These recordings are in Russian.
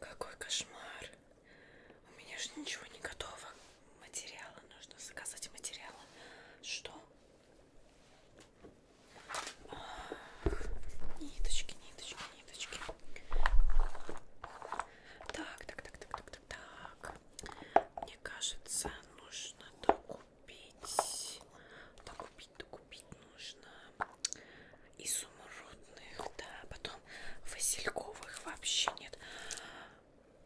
Какой кошмар! У меня же ничего не готово. Материалы нужно заказать материалы. Что? Ах, ниточки, ниточки, ниточки. Так, так, так, так, так, так, так, так. Мне кажется, нужно докупить. Докупить, докупить нужно. Изумрудных, да. Потом васильковых вообще нет.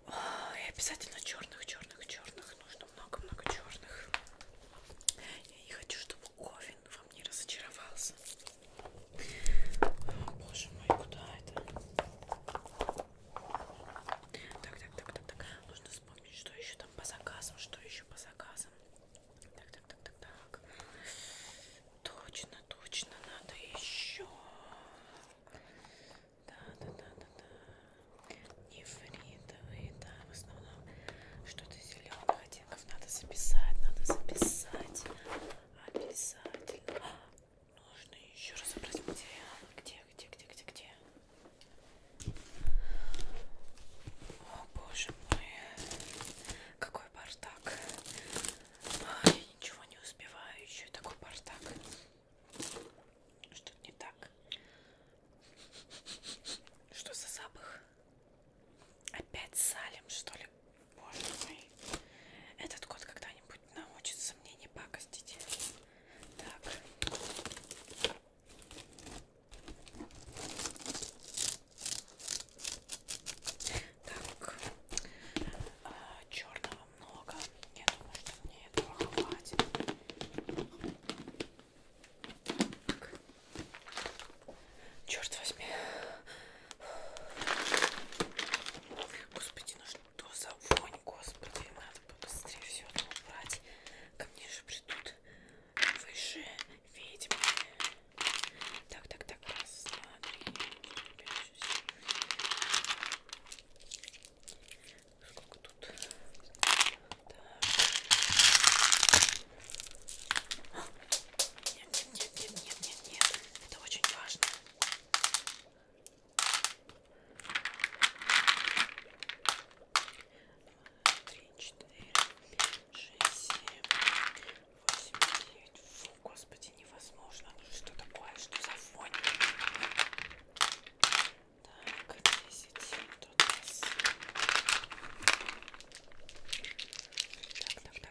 И обязательно черных, черных, черных. Нужно много-много черных. Я не хочу, чтобы Овен во мне разочаровался. Боже мой, куда это? Так, так, так, так, так. Нужно вспомнить, что еще там по заказам, что еще по заказам. Так, так, так, так, так. Точно, точно, надо еще. Да, да, да, да, да. Нефритовые, да, в основном что-то зеленых оттенков надо записать, надо записать. Обязательно. Нужно еще разобрать материал. Где, где, где, где, где? О, боже мой. Какой бардак. А, я ничего не успеваю. Еще такой бардак. Что-то не так. Что за запах? Опять салим, что ли? Боже мой. Этот кот когда-нибудь научится мне не пакостить. Так. Так. А, черного много. Я думаю, что мне этого хватит. Так. Черт возьми, Господи, ну что за вонь, господи, надо побыстрее все это убрать. Ко мне же придут выше ведьмы. Так, так, так, раз, два, три, пять, шесть. Сколько тут? Так. Нет, нет, нет, нет, нет, нет, нет. Это очень важно. Три, четыре, шесть, семь, восемь, девять. Фу, господи, невозможно. Ну что такое? Что за фон? Так, десять. Тут у нас. Так, так, так,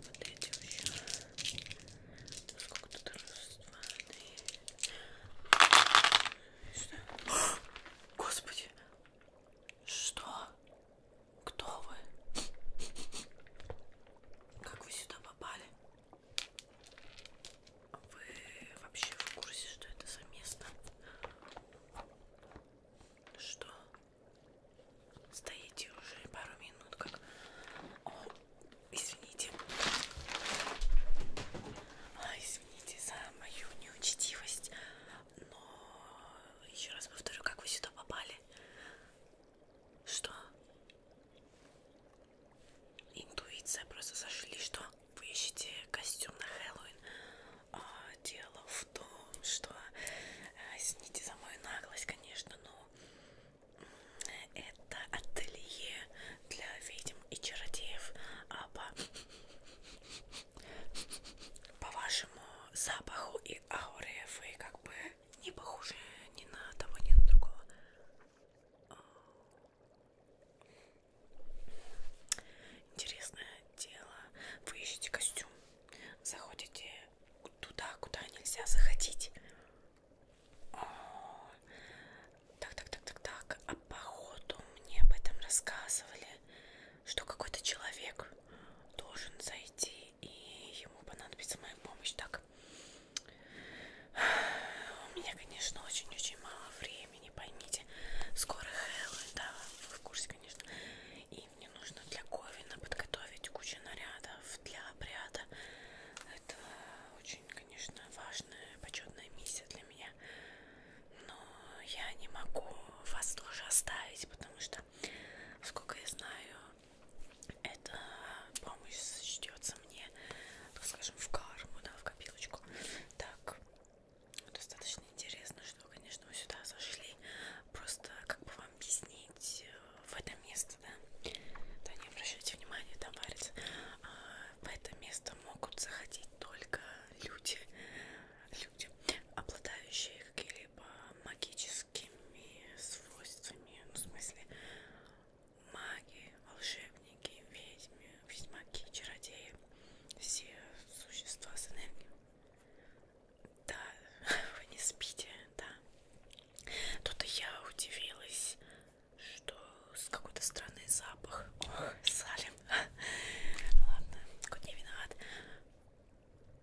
вот эти еще. Ну, сколько тут раз, два, три. Что? О, Господи! Что? Кто вы? Как вы сюда попали? Вы вообще в курсе, что это за место? Что? Стоите уже пару минут, как... О, извините. А, извините за мою неучтивость, но еще раз повторю, как вы сюда попали. Что? Интуиция просто зашли, что вы ищете костюм на Хэллоуин. А, дело в в том, что э, извините за мою наглость, конечно, но это ателье для ведьм и чародеев, а по, по вашему запаху и ауре вы как бы не похожи ни на того, ни на другого. Интересное дело. Вы ищете костюм заходите туда, куда нельзя заходить. О, так, так, так, так, так. А походу мне об этом рассказывали, что какой-то человек должен зайти и ему понадобится моя помощь. Так, у меня, конечно, очень-очень мало времени, поймите. Скоро Хэллоуин, да, вы в курсе, конечно. И и мне нужно для ковина подготовить кучу нарядов для обряда. Это очень, конечно, важная, почетная миссия для меня. Но я не могу вас тоже оставить, потому что, сколько я знаю, эта помощь сочтется мне, так скажем, в карму, да, в копилочку. Так, достаточно интересно, что, конечно, вы сюда зашли. Просто как бы вам объяснить э, в это место, да? Да не обращайте внимания, там варится. А, в это место могут заходить только люди, люди, обладающие какими-либо магическими свойствами, ну, в смысле маги, волшебники, ведьмы, ведьмаки, чародеи, все существа с энергией да, вы не спите, да. Тут я удивилась, что с какой-то стороны запах. Ох, салим. Ладно, хоть не виноват.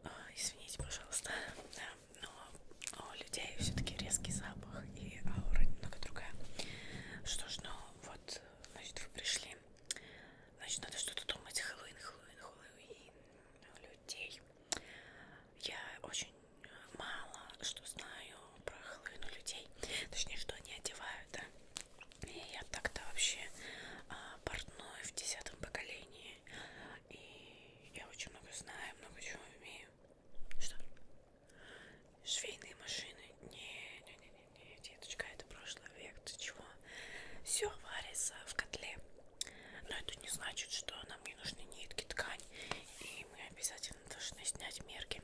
А, извините, пожалуйста. Да, но у людей все-таки резкий запах и аура немного другая. Что ж, ну вот, значит, вы пришли. Значит, надо что-то думать. Хэллоуин, Хэллоуин, Хэллоуин. Людей. Я очень э, мало что знаю про Хэллоуин у людей. Точнее, что они одевают, да. И я так-то вообще а, портной в десятом поколении. И я очень много знаю, много чего умею. Что? Швейные машины. Не-не-не не, деточка, это прошлый век, ты чего? Все варится в котле. Но это не значит, что нам не нужны нитки, ткань. И мы обязательно должны снять мерки.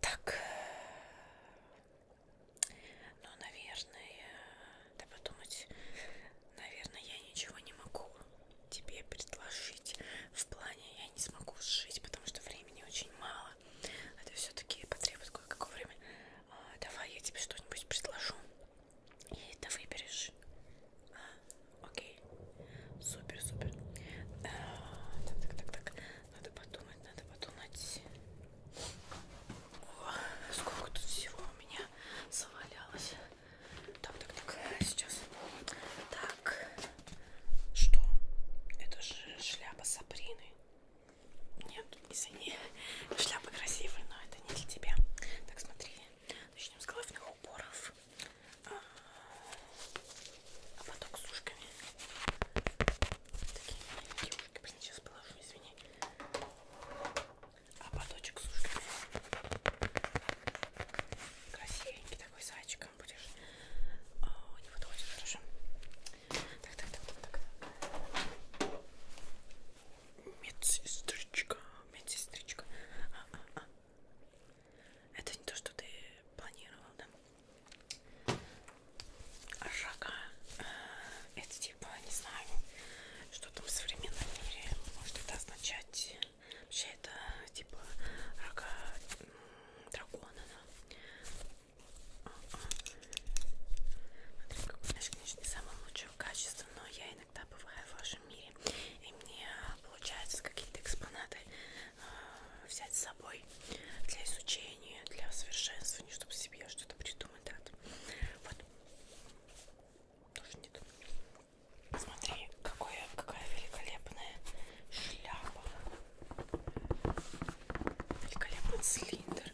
Так. Э, ну, наверное, да подумать, наверное, я ничего не могу тебе предложить. В плане я не смогу сшить, потому что времени очень мало. Это все-таки потребует кое-какое время. А, давай я тебе что-нибудь предложу. И это выберешь. А, окей. Супер, супер. А, так, так, так, так. Надо подумать, надо подумать. О, сколько тут всего у меня завалялось. Так, так, так. Сейчас. Так. Что? Это же шляпа Сабрины. Нет, извини, шляпы красивые, но это не для тебя. Так, смотри, начнем с головных уборов, а, а потом с ушками. Такие маленькие ушки, блин, сейчас положу, извини. А поточек с ушками. Красивенький такой с зайчиком будешь. О, а, не подходит, хорошо. Так, так, так, так, так. Медсестричка, медсестричка. А, а, а. Это не то, что ты планировал, да? Рога. Э, это типа, не знаю, что там в современном мире может это означать. Вообще это типа рога дракона, да? Смотри, какой наш конечно, не самого лучшего качества, но я иногда бываю в вашем мире, и мне получается какие-то экспонаты э, взять с собой для изучения, для совершенствования, чтобы себе что-то придумать. Да? Вот. Тоже нет. Смотри, какое, какая великолепная шляпа. Великолепный цилиндр.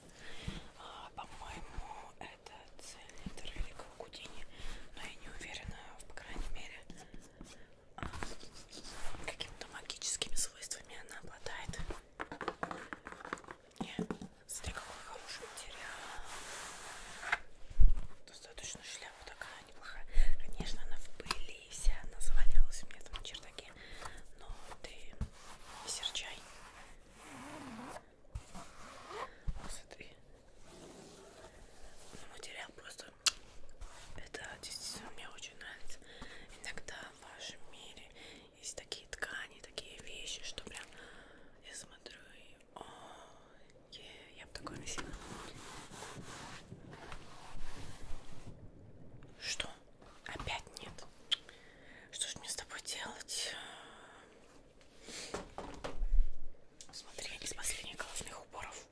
А, По-моему, это цилиндр или каукудини, но я не уверена, по крайней мере, а, какими-то магическими свойствами она обладает. И, смотри, какой хороший материал. Достаточно шляпа такая неплохая. Конечно, она в пыли и вся, она завалилась у меня там в чердаке, но ты не серчай. Смотри. Ну, материал просто... Это действительно мне очень нравится. Иногда в вашем мире есть такие ткани, такие вещи, что прям я смотрю и... О, yeah, я бы такое носила. Что? опять нет. Что ж мне с тобой делать? Смотри, из последних головных уборов.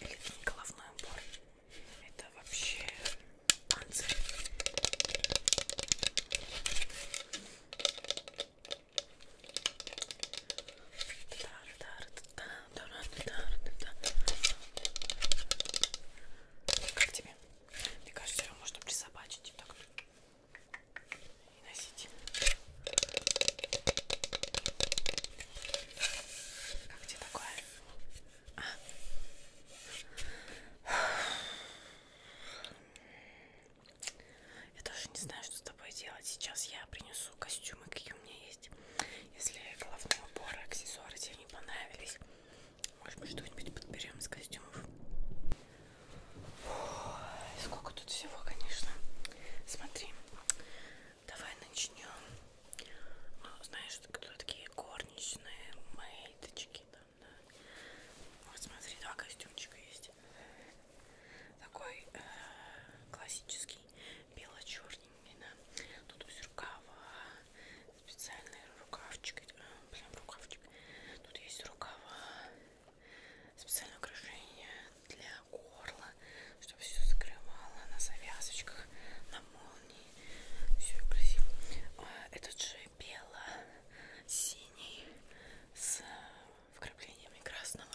Или это не головной убор. Это вообще панцирь. Как тебе? Мне кажется, его можно присобачить так и носить. Как тебе такое? А? Я даже не знаю, что с тобой делать. Сейчас я принесу костюмы, какие у меня есть. Если головные уборы, аксессуары тебе не понравились, может быть, что-нибудь подберем из костюмов. Фух, сколько тут всего, конечно. Смотри, давай начнем. Ну, знаешь, кто такие горничные, мейточки там, да. Вот смотри, два костюмчика есть. Такой э, классический, бело-черненький, да. Тут без рукава, специальный рукавчик, а, прям рукавчик. Тут есть рукава, специальное украшение для горла, чтобы все закрывало на завязочках, на молнии, все красиво. А, этот же бело-синий с вкраплениями красного,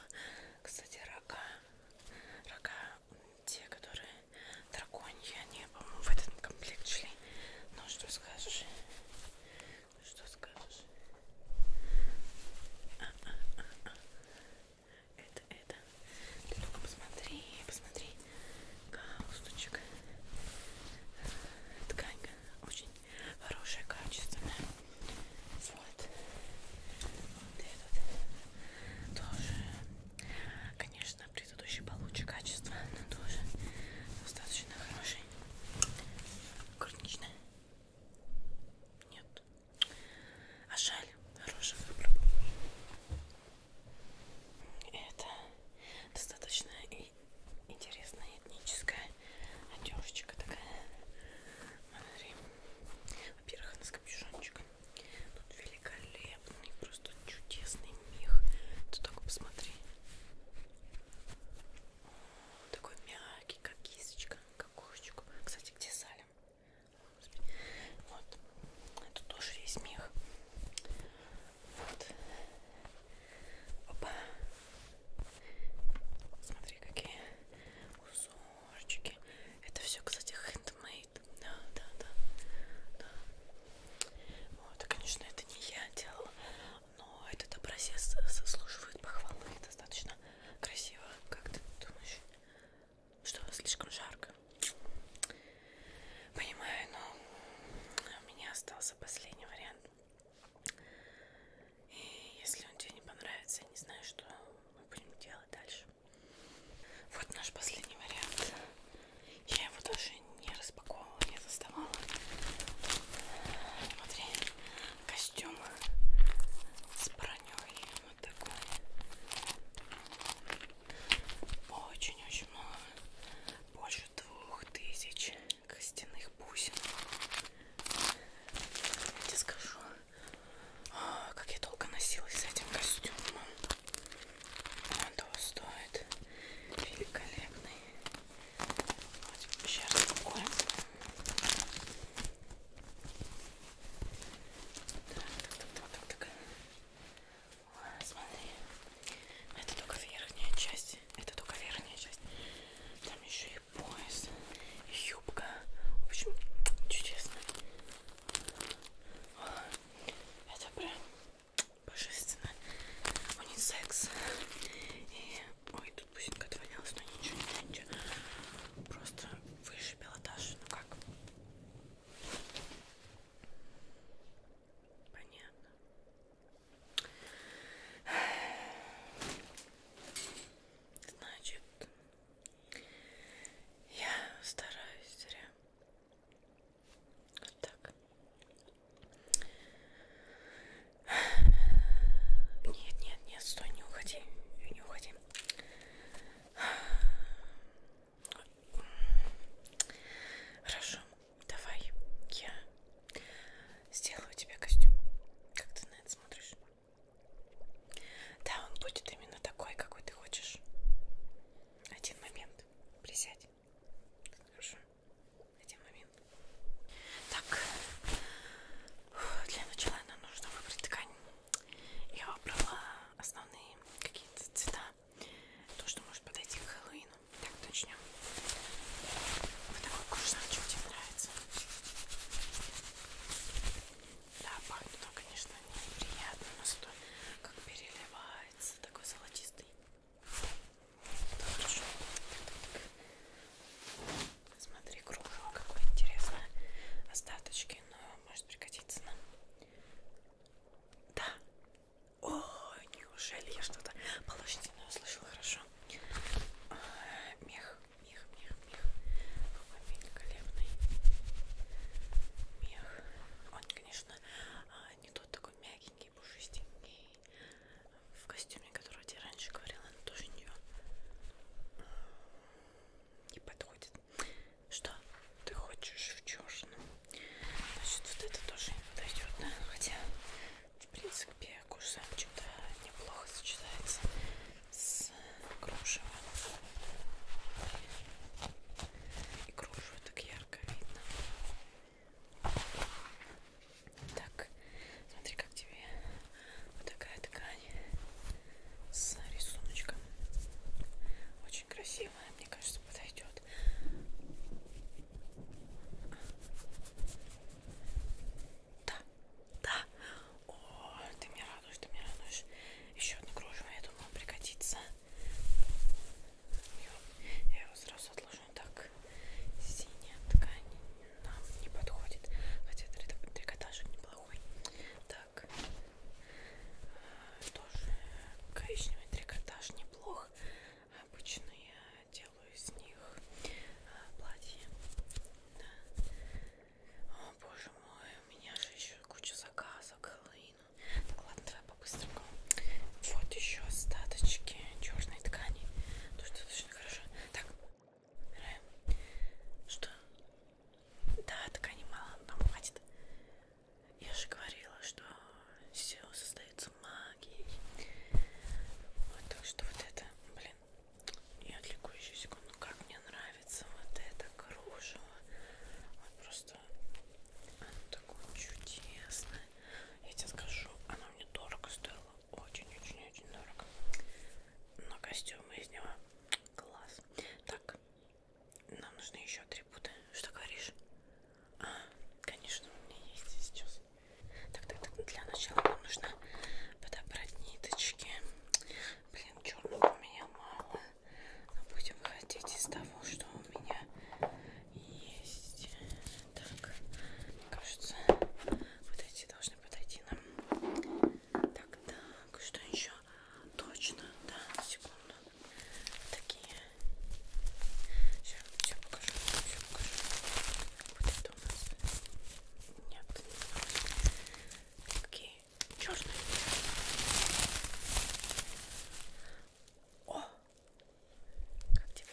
кстати, рога, рога те, которые драконья не по-моему в этот комплект шли ну что скажешь что скажешь а -а -а -а. это это ты только посмотри посмотри галстучек ткань очень хорошая качественная вот вот этот тоже конечно конечно, предыдущий получше качество, но тоже достаточно хороший. Горничная. Нет. А жаль, хороший выбор. Это достаточно и интересная этническая одежечка такая. Смотри. Во-первых, она с капюшончиком. Тут великолепно великолепный, у них просто чудесный мех. Ты только посмотри. О, такой мягкий, как кисточка, как кошечку. Кстати, где Салим? Вот. Это тоже весь мех. Вот. Опа. Смотри, какие узорчики. Это все, кстати, хендмейд стоит. Да, да, да, да. Вот, конечно, это не я делала, но этот образец заслуживает похвалы. Достаточно красиво. Как ты думаешь? Что, слишком жарко? Понимаю, но у меня остался последний вариант. И если он тебе не понравится, я не знаю, что мы будем делать дальше. Вот наш последний вариант. Я его даже не распаковывала, не доставала. Смотри, костюм с броней. Вот такой. Очень-очень много. Больше двух тысяч костяных бусин. Я тебе скажу, а, как я долго носилась с этим костюмом. Он того стоит. Великолепный. Вот сейчас такой. Так, так, так, так, так, так. О, смотри. Это только верхняя часть. Это только верхняя часть. Там еще и пояс, и юбка. В общем, чудесно. Это прям Божественно. Унисекс. И... Ой, тут пусинка отвалилась, но ничего, ничего. Просто выше пилотаж. Ну как? Понятно. Значит, я стараюсь зря вот так. Нет, нет, нет, стой, не уходи, не уходи. Хорошо, давай я сделаю тебе костюм. Как ты на это смотришь? Да, он будет именно такой, какой ты хочешь. Один момент. Присядь есть. Хорошо. Один момент. Так, для начала нам нужно выбрать ткань. Я выбрала основные какие-то цвета. То, что может подойти к Хэллоуину. Так, начнем. Вот такой курсанчик тебе нравится. Да, пахнет он, конечно, неприятно, но зато как переливает нравится, такой золотистый. Это хорошо. Смотри, кружево какое интересное. Остаточки, но ну, может пригодиться нам. Да. О, неужели я что-то положительное услышала? Хорошо. А, мех, мех, мех, мех. Какой великолепный мех. Он, конечно, а, не тот такой мягенький, пушистенький в костюме, который я тебе раньше говорила, она тоже не, не подходит. Что ты хочешь в черном? Значит, вот это тоже не подойдет, да? Хотя, в принципе, курсанчик-то неплохо сочетается с кружевом. И кружево так я ярко видно. Так, смотри, как тебе вот такая ткань с рисуночком. Очень красивая, мне кажется, подойдет. Да, да. О, ты меня радуешь, ты меня радуешь. Еще одно кружево, я думала, пригодится. Я его сразу отложу так. Синяя ткань нам не подходит. Хотя трикотажик неплохой. Так. Э, тоже коричневый трикотаж неплох. Обычно я э, делаю из них э, платье. Да. О боже мой, у меня же еще куча заказок Хэллоуин так, ладно, давай по-быстрому. Вот еще остаточки черной ткани. Тоже достаточно хорошо. Так, убираем. Что? Да, ткани мало, нам хватит. Я же говорила, что все создается магией. Вот так что вот это, блин. Я отвлеку еще секунду. Как мне нравится вот это кружево. Вот просто оно такое чудесное. Я тебе скажу, оно мне дорого стоило. Очень-очень-очень дорого. Но костюмы из него класс. Так, нам нужны еще атрибуты. Что говоришь? А, конечно, у меня есть сейчас. Так, так, так, для начала нам нужно подобрать ниточки. Блин, черного у меня мало. Но будем выходить из того, что у меня есть. Так, кажется, вот эти должны подойти нам. Так, так, что еще? Точно, да, секунду. Такие. Сейчас все покажу, все покажу. Вот это у нас. Нет. Такие черные. О! Как тебе?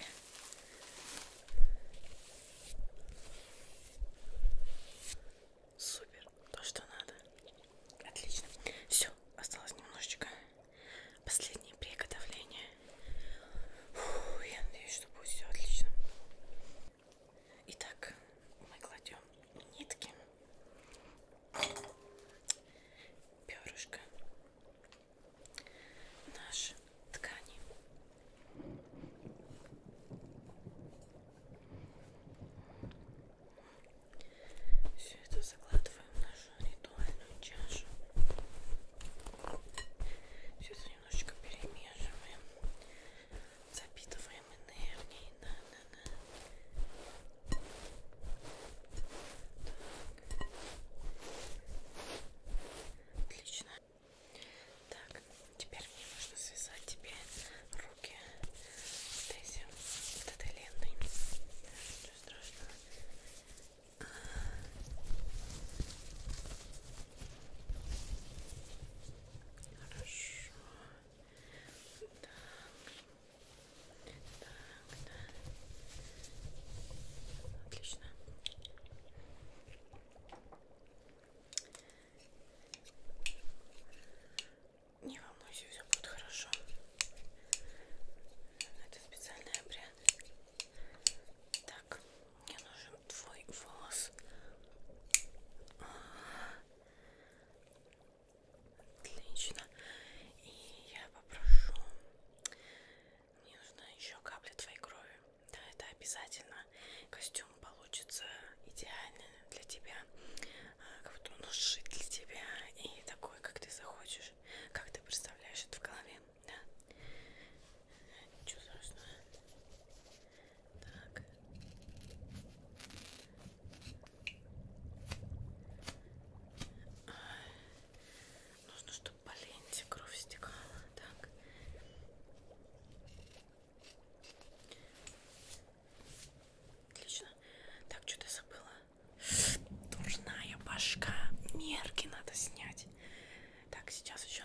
Супер, то что надо. Отлично. Все, осталось немножечко. Последние приготовления. Фу, я надеюсь, что будет все отлично. Итак, мы кладем нитки перышко наши ткани. Все это закладываем в нашу ритуальную чашу. Все это немножечко перемешиваем, запитываем энергией на Отлично. Так, теперь мне нужно связать тебе руки вот этим, вот этой лентой. Ничего страшного. Хорошо. Так. Так, да. Отлично. Не волнуйся, все будет хорошо. Это специальный обряд. Так, мне нужен твой волос. Отлично. И я попрошу. Мне нужна еще капля твоей крови. Да, это обязательно. Костюм получится идеально для тебя. А, как будто он сшит для тебя. И такой, как ты захочешь. Как ты представляешь это в голове. Да? Ничего страшного. Так. Нужно, чтобы по ленте кровь стекала. Так. Отлично. Так, что-то забыла. Дурная башка. Мерки надо снять. Так, сейчас еще.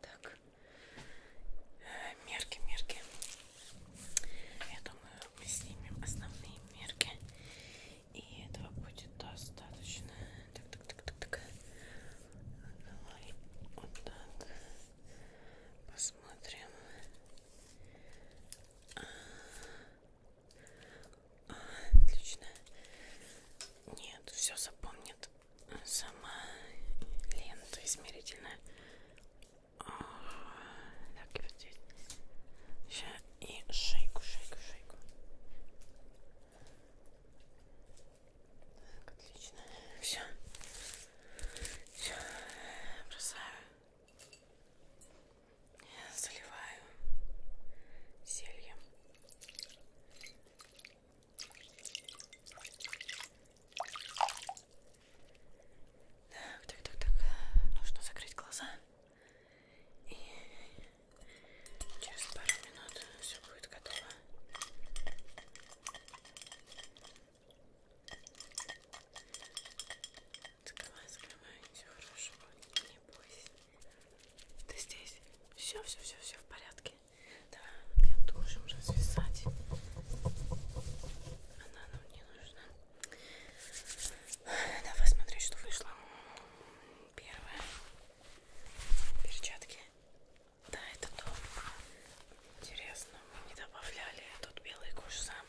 Так, э, мерки, мерки. Я думаю, мы снимем основные мерки. И этого будет достаточно. Так, так, так, так, так. Давай вот так. Посмотрим. Отлично. Нет, все запомнит сама лента измерительная. Так, и вот здесь. Сейчас и шейку, шейку, шейку. Так, отлично. Все. Все. Бросаю заливаю зельем. Так, так, так, так. Нужно закрыть глаза. И через пару минут все будет готово. Скрывай, скрывай, все хорошо, не бойся. Ты здесь? Все, все, все, все в порядке. Давай, я должен развязать. Она нам не нужна. Давай смотреть, что вышло. Первое. Перчатки. Да, это то. Интересно, мы не добавляли тут белый кожзам,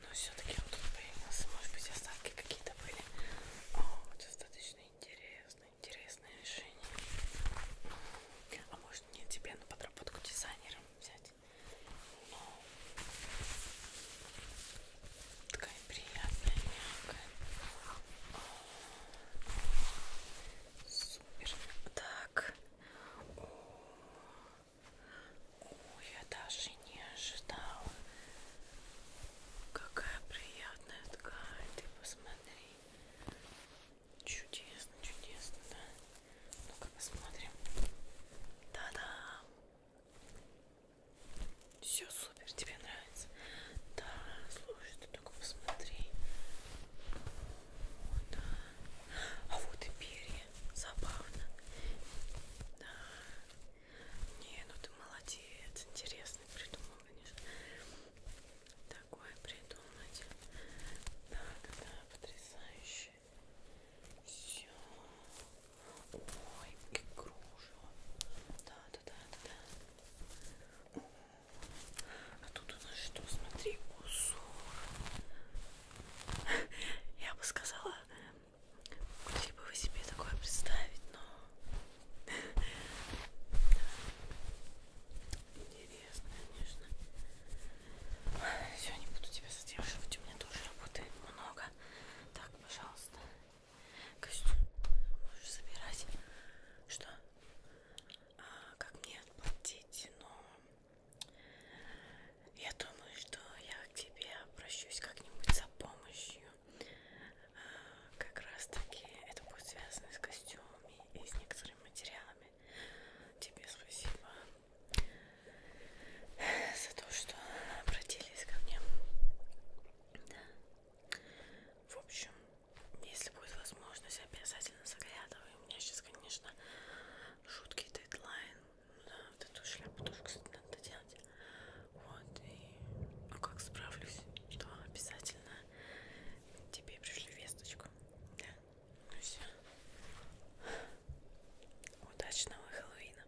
но все-таки он тут появился. Может быть, остатки какие-то были. О, достаточно интересно, интересное решение. А может мне тебе на подработку дизайнером взять? Но... Ну, такая приятная, мягкая. О, супер. Так. О, о, я даже не ожидала. Какая приятная ткань, ты посмотри. Чудесно, чудесно, да? Ну-ка посмотрим. Да-да. Все супер, тебе нравится. Да, слушай, ты только посмотри. О, да. А вот и перья. Забавно. Да. Не, ну ты молодец, интересный придумал, конечно. Такое придумать. Да, да, да, потрясающе. Все. Ой, как кружево. Да, да, да, да, да. А тут у нас что, смотри, узор. Я бы сказала, Могли бы вы себе такое представить, но... Интересно, конечно. Все, не буду тебя задерживать, у меня тоже работы много. Так, пожалуйста. Костюм можешь забирать. Что? А, как мне отплатить? Но ну, я думаю, что я к тебе обращусь как-нибудь за помощью как раз таки это будет связано с костюмами и с некоторыми материалами. Тебе спасибо за то, что обратились ко мне. Да. В общем, если будет возможность, обязательно заглядывай. У меня сейчас, конечно, жуткий дедлайн. Да вот эту шляпу тоже, кстати, надо делать. Вот, и ну как справлюсь, то обязательно тебе пришлю весточку. Да, ну все. Удачного Хэллоуина.